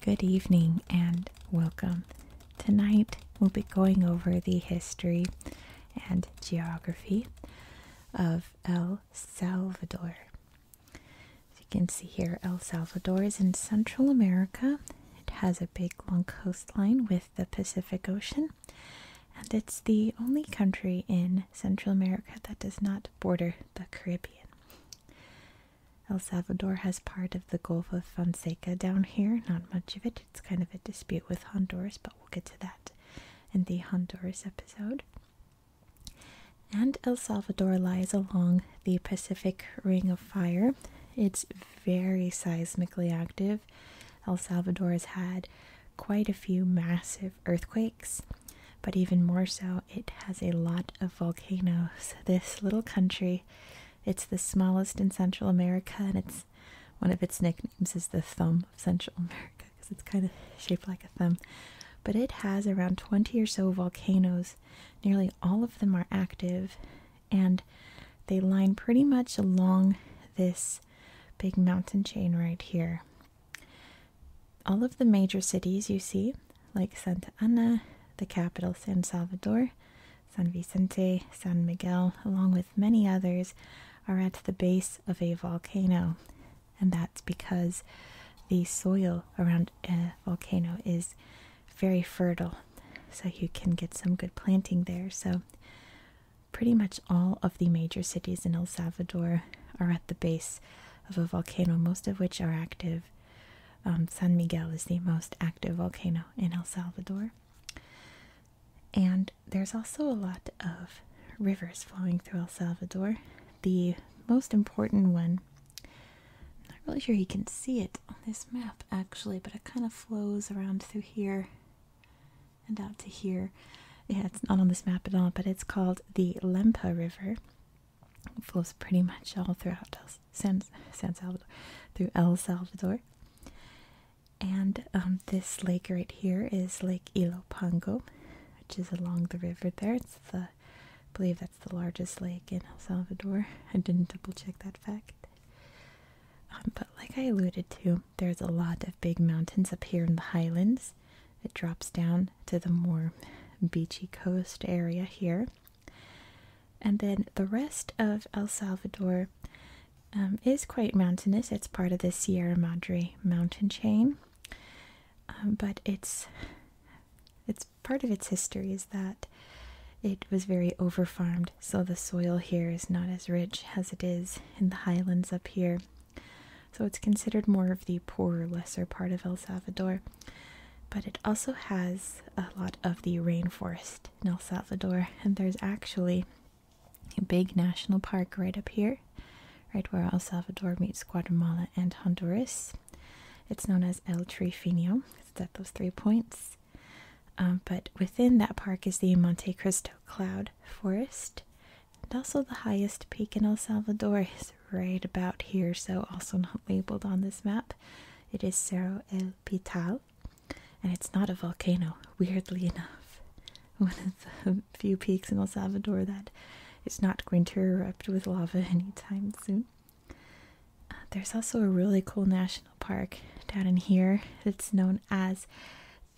Good evening and welcome. Tonight we'll be going over the history and geography of El Salvador. As you can see here, El Salvador is in Central America. It has a big long coastline with the Pacific Ocean, and it's the only country in Central America that does not border the Caribbean. El Salvador has part of the Gulf of Fonseca down here, not much of it. It's kind of a dispute with Honduras, but we'll get to that in the Honduras episode. And El Salvador lies along the Pacific Ring of Fire. It's very seismically active. El Salvador has had quite a few massive earthquakes, but even more so, it has a lot of volcanoes. This little country, it's the smallest in Central America, and it's one of its nicknames is the thumb of Central America because it's kind of shaped like a thumb. But it has around 20 or so volcanoes Nearly all of them are active and they line pretty much along this big mountain chain right here. All of the major cities you see, like Santa Ana, the capital San Salvador, San Vicente, San Miguel, along with many others, are at the base of a volcano. And that's because the soil around a volcano is very fertile, so you can get some good planting there. So, pretty much all of the major cities in El Salvador are at the base of a volcano, most of which are active. Um, San Miguel is the most active volcano in El Salvador. And there's also a lot of rivers flowing through El Salvador. The most important one I'm not really sure he can see it on this map actually, but it kind of flows around through here and out to here. Yeah, it's not on this map at all, but it's called the Lempa River. flows pretty much all throughout San, Salvador, through El Salvador. And um, this lake right here is Lake Ilopango, which is along the river there. It's the believe that's the largest lake in El Salvador. I didn't double check that fact. Um, but like I alluded to, there's a lot of big mountains up here in the highlands. It drops down to the more beachy coast area here. And then the rest of El Salvador um, is quite mountainous. It's part of the Sierra Madre mountain chain. Um, but it's it's part of its history is that it was very overfarmed, so the soil here is not as rich as it is in the highlands up here. So it's considered more of the poorer, lesser part of El Salvador. But it also has a lot of the rainforest in El Salvador, and there's actually a big national park right up here, right where El Salvador meets Guatemala and Honduras. It's known as El Trifinio. It's at those three points. Um, but within that park is the Monte Cristo Cloud Forest. And also the highest peak in El Salvador is right about here, so also not labeled on this map. It is Cerro El Pital, and it's not a volcano, weirdly enough. One of the few peaks in El Salvador that is not going to erupt with lava anytime soon. Uh, there's also a really cool national park down in here. It's known as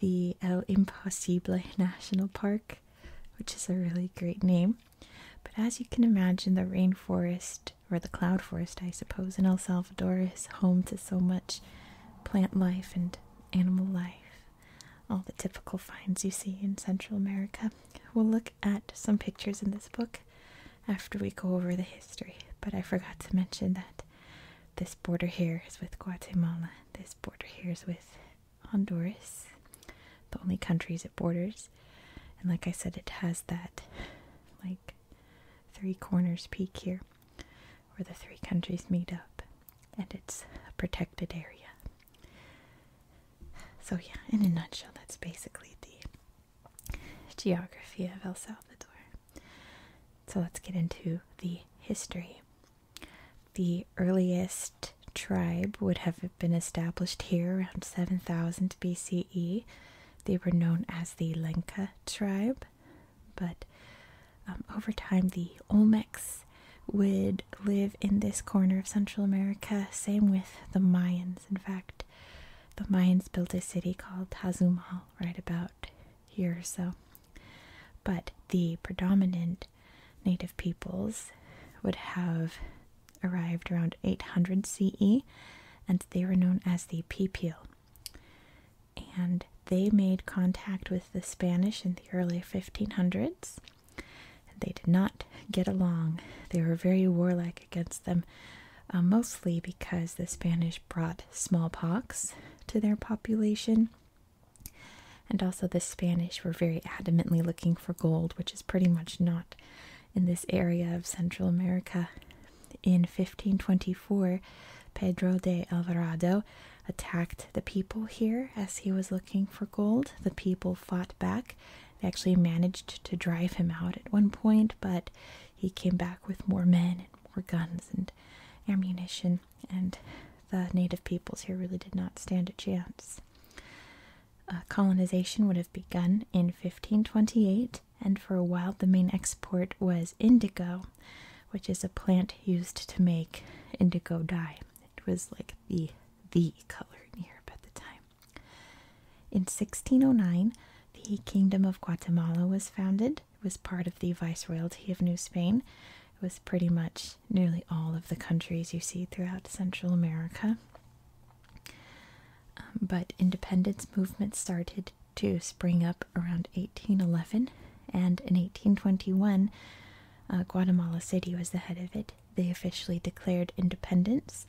the El Imposible National Park, which is a really great name. But as you can imagine, the rainforest, or the cloud forest, I suppose, in El Salvador is home to so much plant life and animal life. All the typical finds you see in Central America. We'll look at some pictures in this book after we go over the history. But I forgot to mention that this border here is with Guatemala, this border here is with Honduras, the only countries it borders. And like I said, it has that like three corners peak here where the three countries meet up, and it's a protected area. So, yeah, in a nutshell, that's basically the geography of El Salvador. So let's get into the history. The earliest tribe would have been established here around 7000 BCE. They were known as the Lenca tribe, but um, over time the Olmecs would live in this corner of Central America, same with the Mayans. In fact, the Mayans built a city called Tazumal right about here so. But the predominant native peoples would have arrived around 800 CE and they were known as the Pipil. And they made contact with the Spanish in the early 1500s they did not get along. They were very warlike against them, uh, mostly because the Spanish brought smallpox to their population. And also, the Spanish were very adamantly looking for gold, which is pretty much not in this area of Central America. In 1524, Pedro de Alvarado attacked the people here as he was looking for gold. The people fought back they actually managed to drive him out at one point, but he came back with more men and more guns and ammunition, and the native peoples here really did not stand a chance. Uh, colonization would have begun in 1528, and for a while the main export was indigo, which is a plant used to make indigo dye. It was like the the color in Europe at the time. In 1609, the Kingdom of Guatemala was founded. It was part of the Viceroyalty of New Spain. It was pretty much nearly all of the countries you see throughout Central America. Um, but independence movements started to spring up around 1811, and in 1821, uh, Guatemala City was the head of it they officially declared independence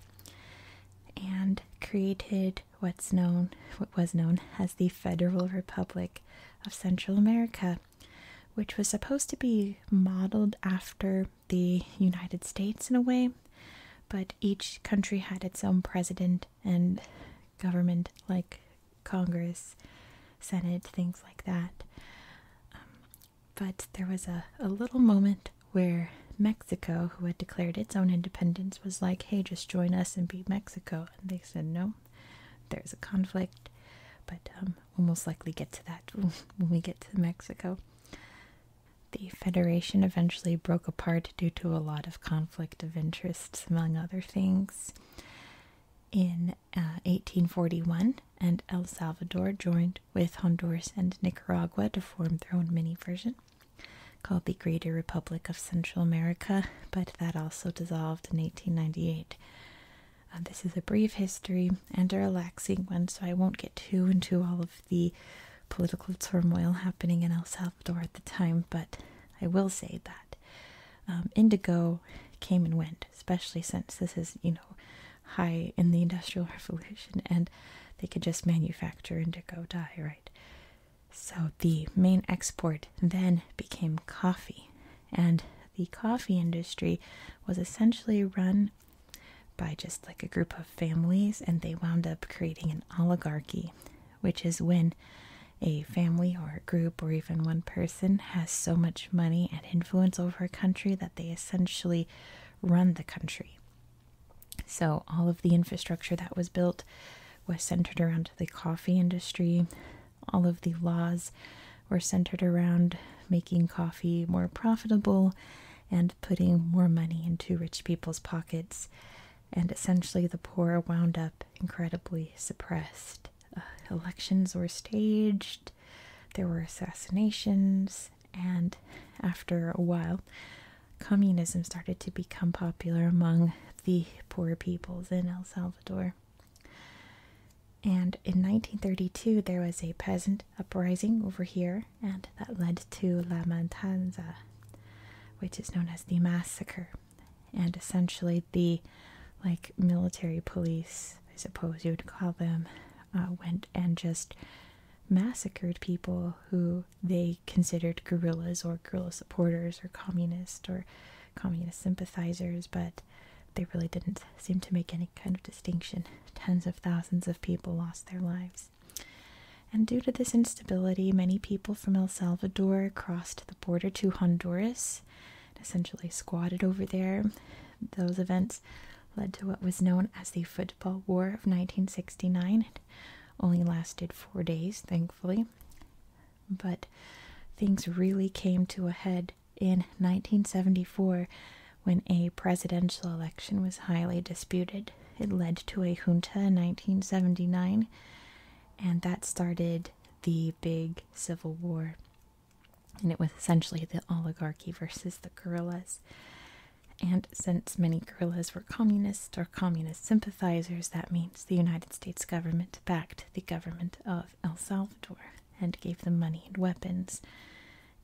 and created what's known what was known as the Federal Republic of Central America, which was supposed to be modeled after the United States in a way, but each country had its own president and government like Congress, Senate, things like that. Um, but there was a, a little moment where Mexico, who had declared its own independence, was like, hey, just join us and beat Mexico. And they said, no, there's a conflict. But um, we'll most likely get to that when we get to Mexico. The Federation eventually broke apart due to a lot of conflict of interests, among other things. In 1841, uh, and El Salvador joined with Honduras and Nicaragua to form their own mini version called the Greater Republic of Central America, but that also dissolved in 1898. Um, this is a brief history and a relaxing one, so I won't get too into all of the political turmoil happening in El Salvador at the time, but I will say that um, indigo came and went, especially since this is, you know, high in the Industrial Revolution, and they could just manufacture indigo dye, right? So the main export then became coffee, and the coffee industry was essentially run by just like a group of families, and they wound up creating an oligarchy, which is when a family or a group or even one person has so much money and influence over a country that they essentially run the country. So, all of the infrastructure that was built was centered around the coffee industry. All of the laws were centered around making coffee more profitable and putting more money into rich people's pockets. And essentially, the poor wound up incredibly suppressed. Uh, elections were staged, there were assassinations, and after a while, communism started to become popular among the poor peoples in El Salvador. And in 1932, there was a peasant uprising over here, and that led to La Matanza, which is known as the massacre, and essentially the like military police, I suppose you would call them, uh, went and just massacred people who they considered guerrillas or guerrilla supporters or communist or communist sympathizers, but they really didn't seem to make any kind of distinction. Tens of thousands of people lost their lives. And due to this instability, many people from El Salvador crossed the border to Honduras and essentially squatted over there. Those events led to what was known as the Antipa War of 1969. It only lasted four days, thankfully. But things really came to a head in 1974 when a presidential election was highly disputed. It led to a junta in 1979, and that started the big civil war. And it was essentially the oligarchy versus the guerrillas. And since many guerrillas were communists or communist sympathizers, that means the United States government backed the government of El Salvador and gave them money and weapons.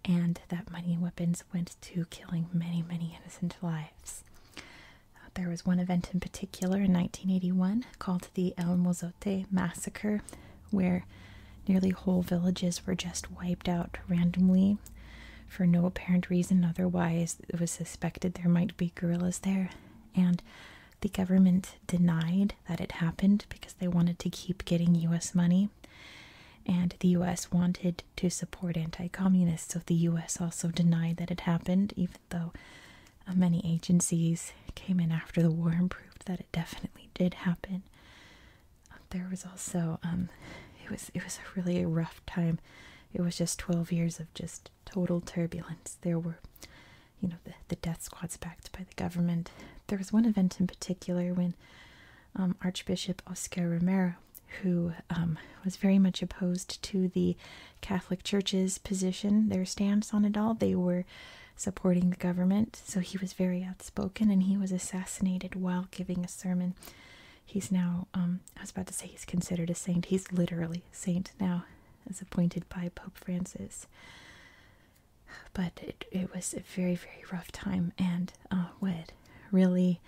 And that money and weapons went to killing many, many innocent lives. Uh, there was one event in particular in 1981 called the El Mozote Massacre, where Nearly whole villages were just wiped out randomly for no apparent reason, otherwise, it was suspected there might be guerrillas there. And the government denied that it happened because they wanted to keep getting US money. And the US wanted to support anti communists, so the US also denied that it happened, even though uh, many agencies came in after the war and proved that it definitely did happen there was also um, it was it was a really rough time. It was just 12 years of just total turbulence. There were, you know, the, death squads backed by the government. There was one event in particular when um, Archbishop Oscar Romero, who um, was very much opposed to the Catholic Church's position, their stance on it all, they were supporting the government. So he was very outspoken and he was assassinated while giving a sermon he's now um, I was about to say he's considered a saint. He's literally a saint now, as appointed by Pope Francis. But it it was a very very rough time, and uh, what really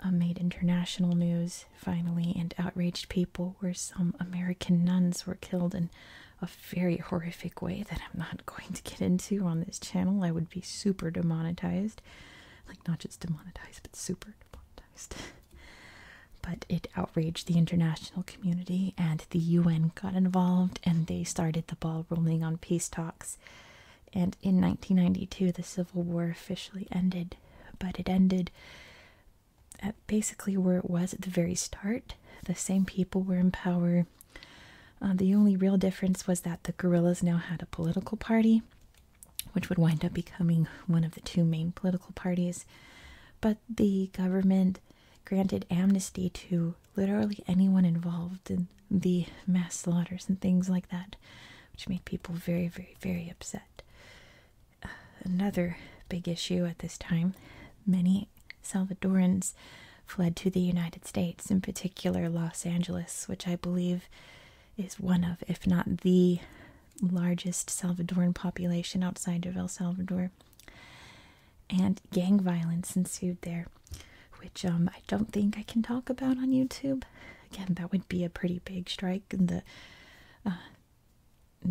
um, made international news finally and outraged people were some American nuns were killed in a very horrific way that I'm not going to get into on this channel. I would be super demonetized. Like, not just demonetized, but super demonetized. but it outraged the international community, and the UN got involved, and they started the ball rolling on peace talks. And in 1992, the Civil War officially ended, but it ended at basically where it was at the very start. The same people were in power uh, the only real difference was that the guerrillas now had a political party, which would wind up becoming one of the two main political parties. But the government granted amnesty to literally anyone involved in the mass slaughters and things like that, which made people very, very, very upset. Uh, another big issue at this time many Salvadorans fled to the United States, in particular Los Angeles, which I believe is one of, if not the largest Salvadoran population outside of El Salvador. And gang violence ensued there, which um, I don't think I can talk about on YouTube. Again, that would be a pretty big strike in the uh,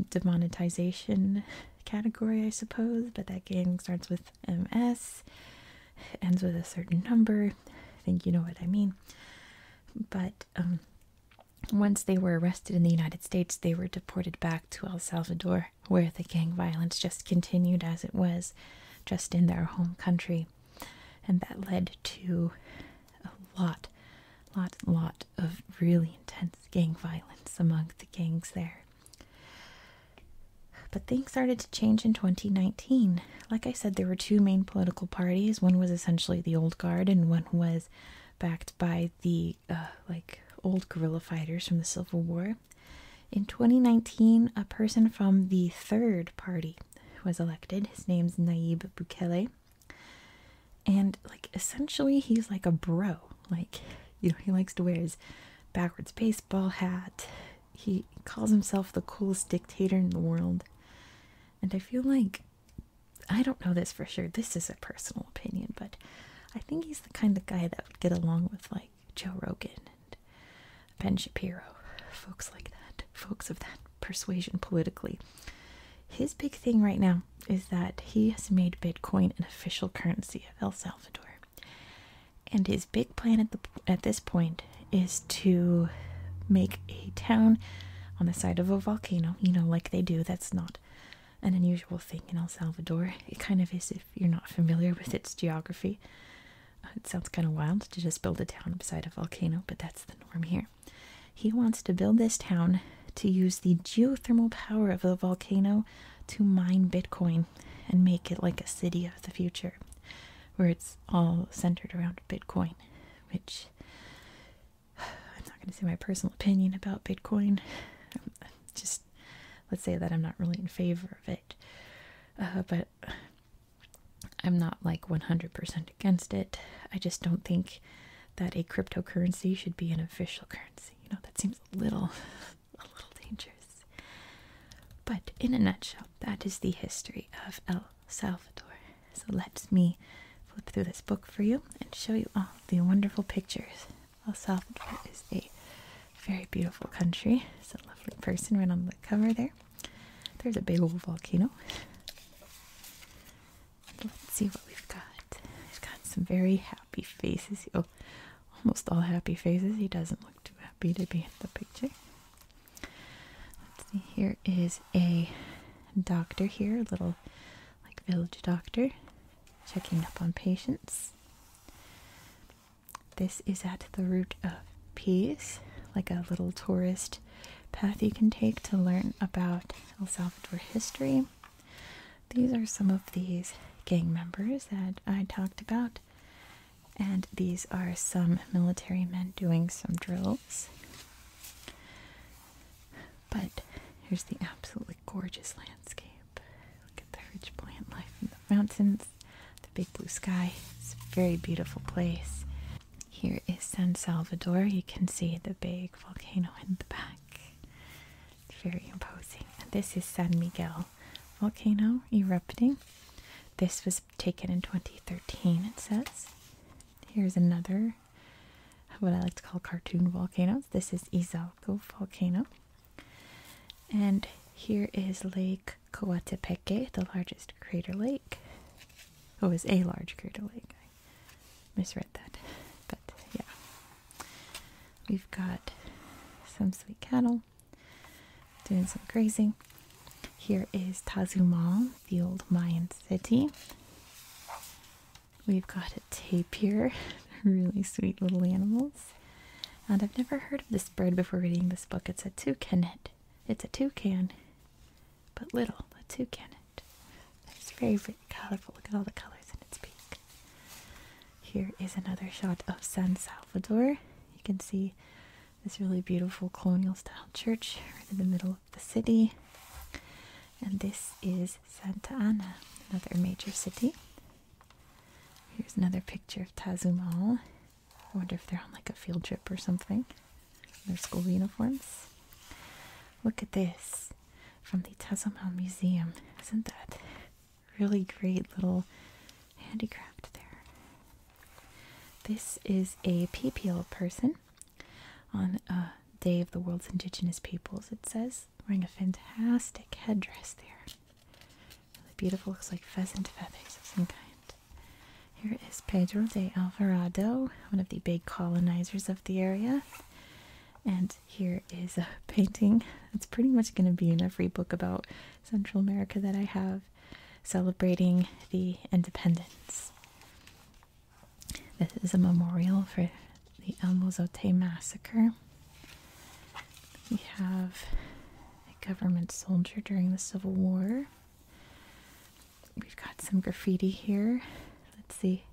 demonetization category, I suppose, but that gang starts with MS, ends with a certain number. I think you know what I mean. But um, once they were arrested in the United States, they were deported back to El Salvador, where the gang violence just continued as it was, just in their home country. And that led to a lot, lot, lot of really intense gang violence among the gangs there. But things started to change in 2019. Like I said, there were two main political parties. One was essentially the old guard, and one was backed by the uh, like old guerrilla fighters from the Civil War. In 2019, a person from the third party was elected. His name's Naib Bukele. And like essentially he's like a bro. Like, you know, he likes to wear his backwards baseball hat, he calls himself the coolest dictator in the world. And I feel like I don't know this for sure. This is a personal opinion, but I think he's the kind of guy that would get along with like Joe Rogan and Ben Shapiro, folks like that, folks of that persuasion politically. His big thing right now is that he has made Bitcoin an official currency of El Salvador. And his big plan at this point is to make a town on the side of a volcano, you know, like they do. That's not an unusual thing in El Salvador. It kind of is if you're not familiar with its geography. Uh, it sounds kind of wild to just build a town beside a volcano, but that's the norm here. He wants to build this town to use the geothermal power of the volcano to mine Bitcoin and make it like a city of the future where it's all centered around Bitcoin, which I'm not going to say my personal opinion about Bitcoin. just let's say that I'm not really in favor of it, uh, but I'm not like 100% against it. I just don't think that a cryptocurrency should be an official currency. You know, that seems a little a little dangerous. But in a nutshell, that is the history of El Salvador. So let us me flip through this book for you and show you all the wonderful pictures. El Salvador is a very beautiful country. It's a lovely person right on the cover there. There's a big old volcano. Let's see what we've got. We've got some very happy faces. Oh, almost all happy faces. He doesn't look too happy to be in the picture. Let's see, here is a doctor here, a little like village doctor, checking up on patients. This is at the root of peace, like a little tourist path you can take to learn about El Salvador history. These are some of these gang members that I talked about and these are some military men doing some drills. But here's the absolutely gorgeous landscape. Look at the rich plant life in the mountains, the big blue sky. It's a very beautiful place. Here is San Salvador. You can see the big volcano in the back. It's very imposing. this is San Miguel volcano erupting. This was taken in 2013, it says. Here's another, what I like to call cartoon volcanoes. This is Izalco volcano. And here is Lake Coatepeque, the largest crater lake. Oh, it was a large crater lake. I misread that. But yeah. We've got some sweet cattle doing some grazing. Here is Tazumal, the old Mayan city. We've got a tapir, really sweet little animals. And I've never heard of this bird before reading this book. It's a toucanet. It's a toucan, but little, a toucanet. It's very, very colorful. Look at all the colors in its beak. Here is another shot of San Salvador. You can see this really beautiful colonial style church right in the middle of the city. And this is Santa Ana, another major city. Here's another picture of Tazumal. I wonder if they're on like a field trip or something. Their school uniforms. Look at this from the Tazumal Museum. Isn't that Really great little handicraft there. This is a PPL person on a uh, Day of the World's Indigenous Peoples, it says, wearing a fantastic headdress there. Really beautiful, looks like pheasant feathers of some kind. Here is Pedro de Alvarado, one of the big colonizers of the area. And here is a painting that's pretty much going to be in every book about Central America that I have celebrating the independence. This is a memorial for the El Mozote massacre. We have a government soldier during the Civil War. We've got some graffiti here. Let's see.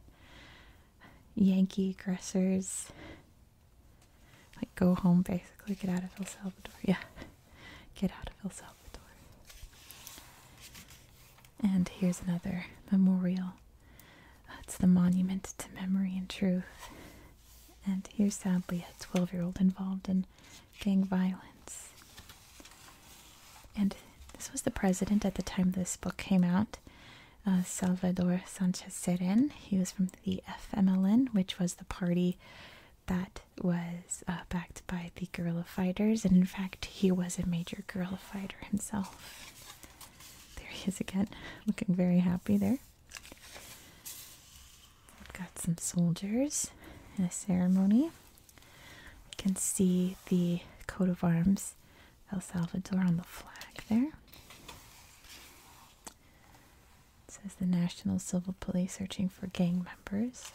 Yankee aggressors like, go home, basically. Get out of El Salvador. Yeah. Get out of El Salvador. And here's another memorial. It's the Monument to Memory and Truth. And here's sadly a 12 year old involved in gang violence. And this was the president at the time this book came out, uh, Salvador Sanchez Seren. He was from the FMLN, which was the party that was uh, backed by the guerrilla fighters, and in fact, he was a major guerrilla fighter himself. There he is again, looking very happy there. We've got some soldiers in a ceremony. You can see the coat of arms El Salvador on the flag there. It says the National Civil Police searching for gang members.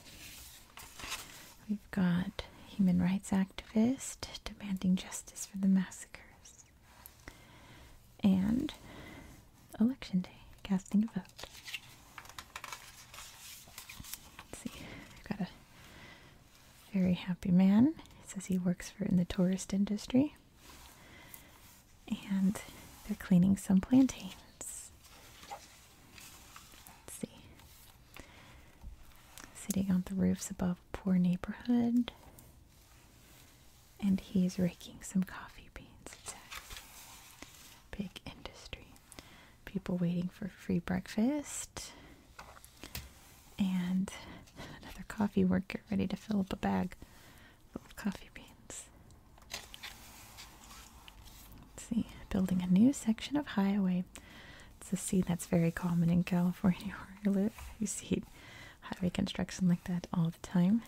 We've got human rights activist demanding justice for the massacres. And election day, casting a vote. Let's see, we've got a very happy man. says he works for in the tourist industry. And they're cleaning some plantains. Let's see. Sitting on the roofs above poor neighborhood. And he's raking some coffee beans. Exactly. Big industry. People waiting for free breakfast. And another coffee worker ready to fill up a bag coffee beans. Let's see, building a new section of highway. It's a scene that's very common in California You see highway construction like that all the time.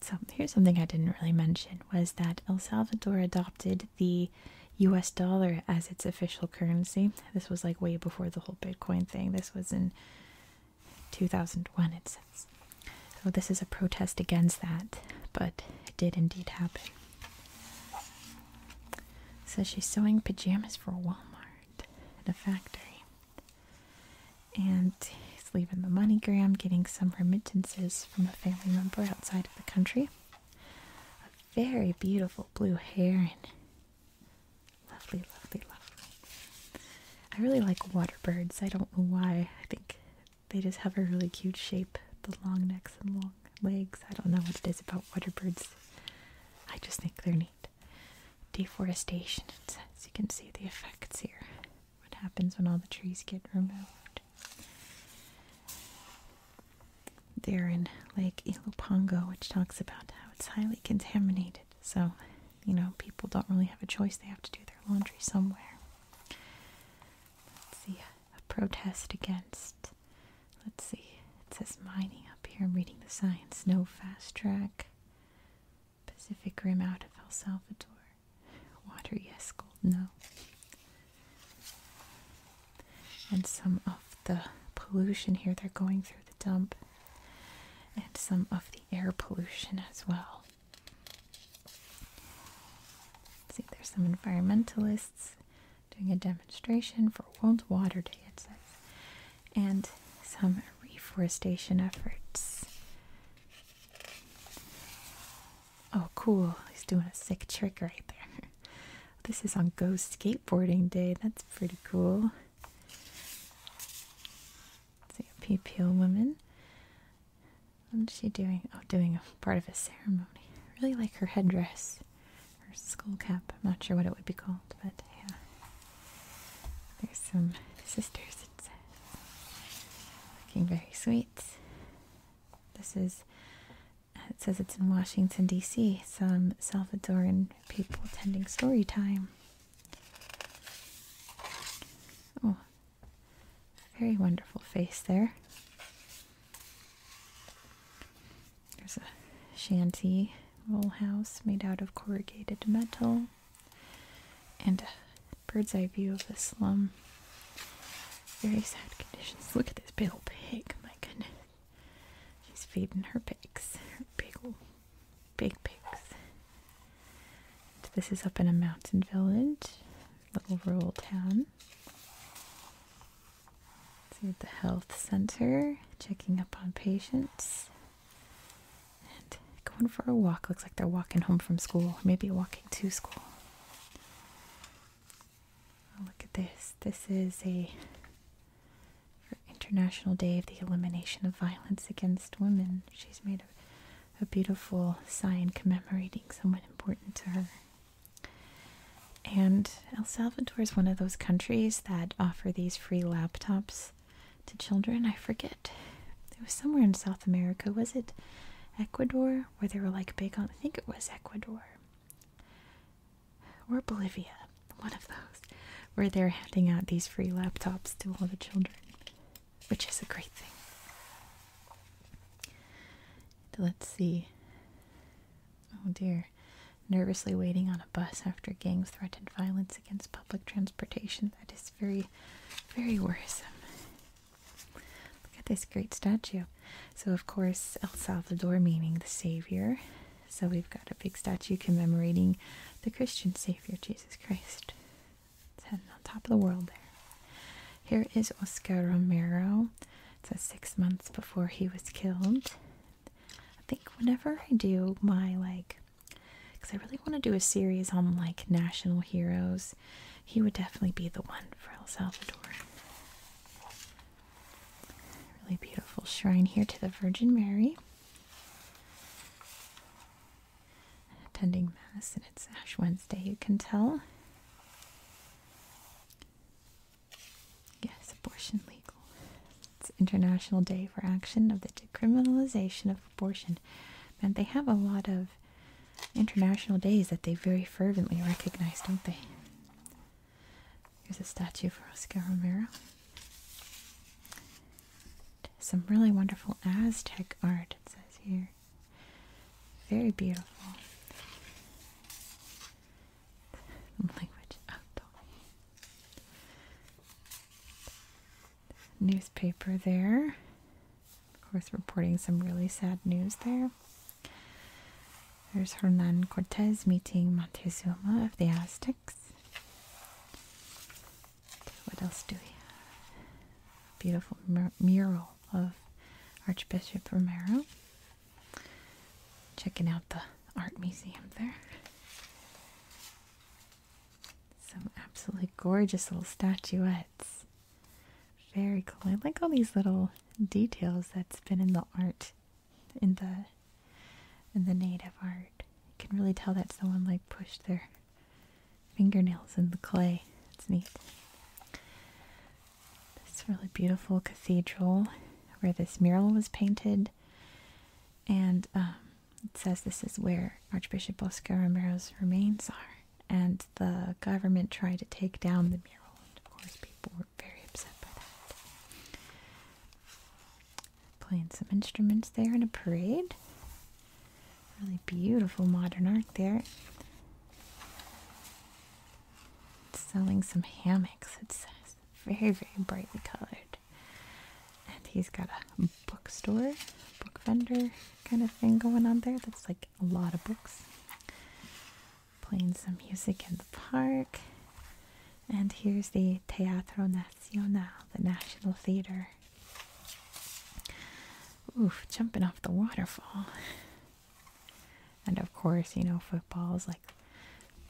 So here's something I didn't really mention was that El Salvador adopted the US dollar as its official currency. This was like way before the whole Bitcoin thing. This was in 2001, it says. So this is a protest against that, but it did indeed happen. So she's sewing pajamas for Walmart in a factory. And he's leaving the MoneyGram, getting some remittances from a family member outside of the country. A very beautiful blue heron. Lovely, lovely, lovely. I really like water birds. I don't know why. I think they just have a really cute shape. The long necks and long legs. I don't know what it is about water birds. I just think they're neat. Deforestation, As You can see the effects here. What happens when all the trees get removed. There in Lake Ilopango, which talks about how it's highly contaminated so, you know, people don't really have a choice. They have to do their laundry somewhere. Let's see. A protest against. Let's see. It says mining up here. I'm reading the signs. No fast track. Pacific Rim out of El Salvador. Water, yes. Gold, no. And some of the pollution here, they're going through the dump. And some of the air pollution as well. See, there's some environmentalists doing a demonstration for World Water Day, it says, and some reforestation efforts. Oh, cool. He's doing a sick trick right there. This is on Go Skateboarding Day. That's pretty cool. See a PPO woman. What is she doing? Oh, doing a part of a ceremony. I really like her headdress. Her skull cap. I'm not sure what it would be called, but yeah. There's some sisters, it Looking very sweet. This is, it says it's in Washington, D.C. Some Salvadoran people attending story time. Oh, very wonderful face there. There's a shanty roll house made out of corrugated metal and a bird's eye view of the slum. Very sad conditions. Look at this big pig, my goodness. She's feeding her pigs, Pig big pigs. this is up in a mountain village, little rural town. See the health center, checking up on patients. And going for a walk. Looks like they're walking home from school, maybe walking to school. Oh, look at this. This is a International Day of the Elimination of Violence Against Women. She's made a a beautiful sign commemorating someone important to her. And El Salvador is one of those countries that offer these free laptops to children. I forget. It was somewhere in South America. Was it Ecuador where they were like big on? I think it was Ecuador or Bolivia, one of those, where they're handing out these free laptops to all the children which is a great thing. Let's see. Oh dear. Nervously waiting on a bus after gangs threatened violence against public transportation. That is very, very worrisome. Look at this great statue. So, of course, El Salvador meaning the Savior. So, we've got a big statue commemorating the Christian Savior, Jesus Christ. It's on top of the world there. Here is Oscar Romero. It says six months before he was killed. I think whenever I do my like, because I really want to do a series on like national heroes, he would definitely be the one for El Salvador. Really beautiful shrine here to the Virgin Mary attending Mass, and it's Ash Wednesday, you can tell. Yes, abortion legal. It's International Day for Action of the Decriminalization of Abortion. And they have a lot of international days that they very fervently recognize, don't they? Here's a statue for Oscar Romero. Some really wonderful Aztec art, it says here. Very beautiful. Language Newspaper there. Of course, reporting some really sad news there. There's Hernan Cortez meeting Montezuma of the Aztecs. What else do we have? Beautiful mural of Archbishop Romero. Checking out the art museum there. Some absolutely gorgeous little statuettes. Very cool. I like all these little details that's been in the art, in the in the native art. You can really tell that's the one like pushed there fingernails in the clay. It's neat. This really beautiful cathedral where this mural was painted. And um, it says this is where Archbishop Oscar Romero's remains are. And the government tried to take down the mural. And of course, people were very upset by that. Playing some instruments there in a parade. Really beautiful modern art there. Selling some hammocks, it says. Very, very brightly colored. And he's got a bookstore, book vendor kind of thing going on there. That's like a lot of books. Playing some music in the park. And here's the Teatro Nacional, the National Theater. Oof, jumping off the waterfall. And of course, you know, football is like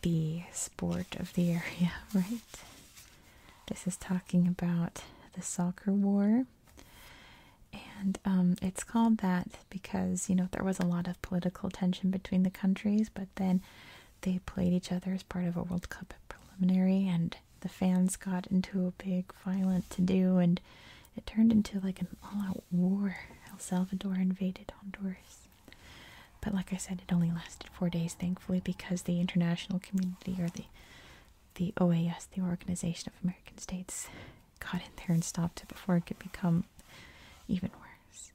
the sport of the area, right? This is talking about the soccer war. And um, it's called that because, you know, there was a lot of political tension between the countries, but then they played each other as part of a World Cup preliminary, and the fans got into a big violent to do and it turned into like an all-out war. El Salvador invaded Honduras. But like I said, it only lasted four days, thankfully, because the international community or the the OAS, the Organization of American States, got in there and stopped it before it could become even worse.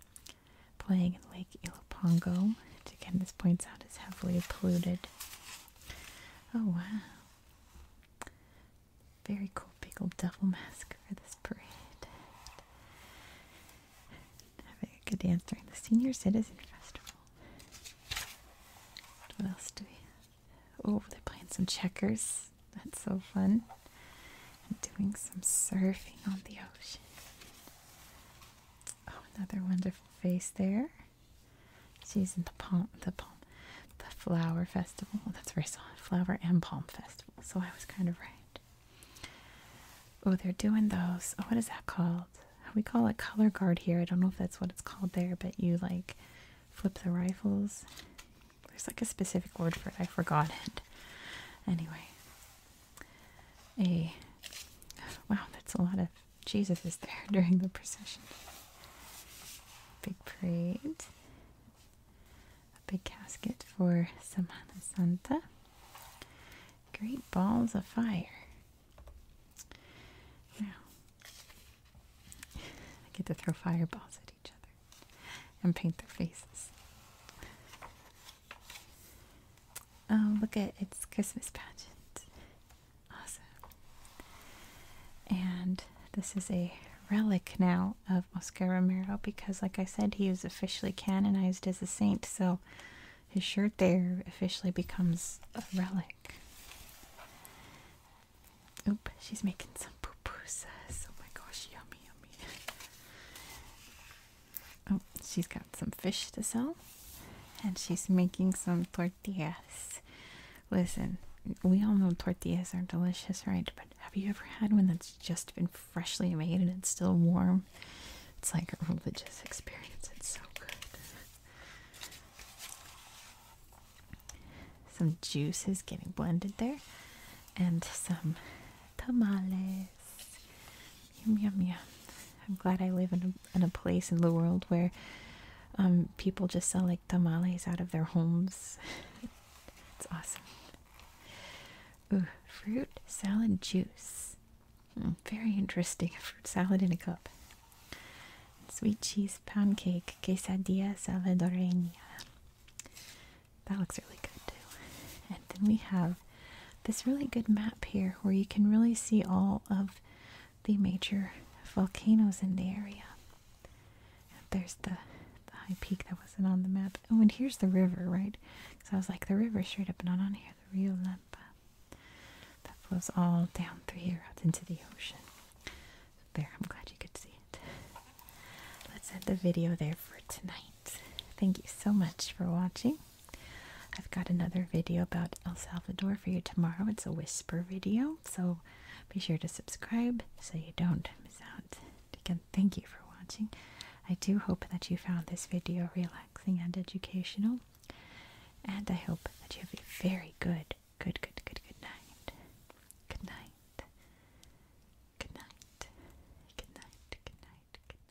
Playing in Lake Ilopango, which again this points out is heavily polluted Oh wow. Very cool big old devil mask for this parade. Having a good dance during the Senior Citizen Festival. What else do we Oh, they're playing some checkers. That's so fun. And doing some surfing on the ocean. Oh, another wonderful face there. She's in the palm, the palm, the flower festival. Oh, that's very soft. Flower and palm festival. So I was kind of right. Oh, they're doing those. Oh, what is that called? We call it color guard here. I don't know if that's what it's called there, but you like flip the rifles. There's like a specific word for it. I forgot it. Anyway, a wow, that's a lot of Jesus is there during the procession. Big parade. A big casket for Santa. Great balls of fire. Now, I get to throw fireballs at each other and paint their faces. Oh, look at it's Christmas pageant. Awesome. And this is a relic now of Oscar Romero because, like I said, he was officially canonized as a saint, so his shirt there officially becomes a relic. Oop, she's making some pupusas. Oh my gosh, yummy, yummy. oh, she's got some fish to sell and she's making some tortillas. Listen, we all know tortillas are delicious, right? But have you ever had one that's just been freshly made and it's still warm? It's like a religious experience. It's so good. Some juices getting blended there, and some tamales. Yum, yum, yum. I'm glad I live in a, in a place in the world where um, people just sell like tamales out of their homes. it's awesome. Ooh, fruit salad juice. Hmm, very interesting. Fruit salad in a cup. Sweet cheese pound cake. Quesadilla salvadoreña. That looks really good too. And then we have this really good map here where you can really see all of the major volcanoes in the area. There's the, high peak that wasn't on the map. Oh, and here's the river, right? Because I was like, the river straight up, not on here. The Rio Lempa that flows all down through here out into the ocean. There, I'm glad you could see it. Let's end the video there for tonight. Thank you so much for watching. I've got another video about El Salvador for you tomorrow. It's a whisper video, so be sure to subscribe so you don't miss out. Again, thank you for watching. I do hope that you found this video relaxing and educational, and I hope that you have a very good, good, good, good, good night. Good night. Good night. Good night. Good night. Good night. Good night. Good night. Good night.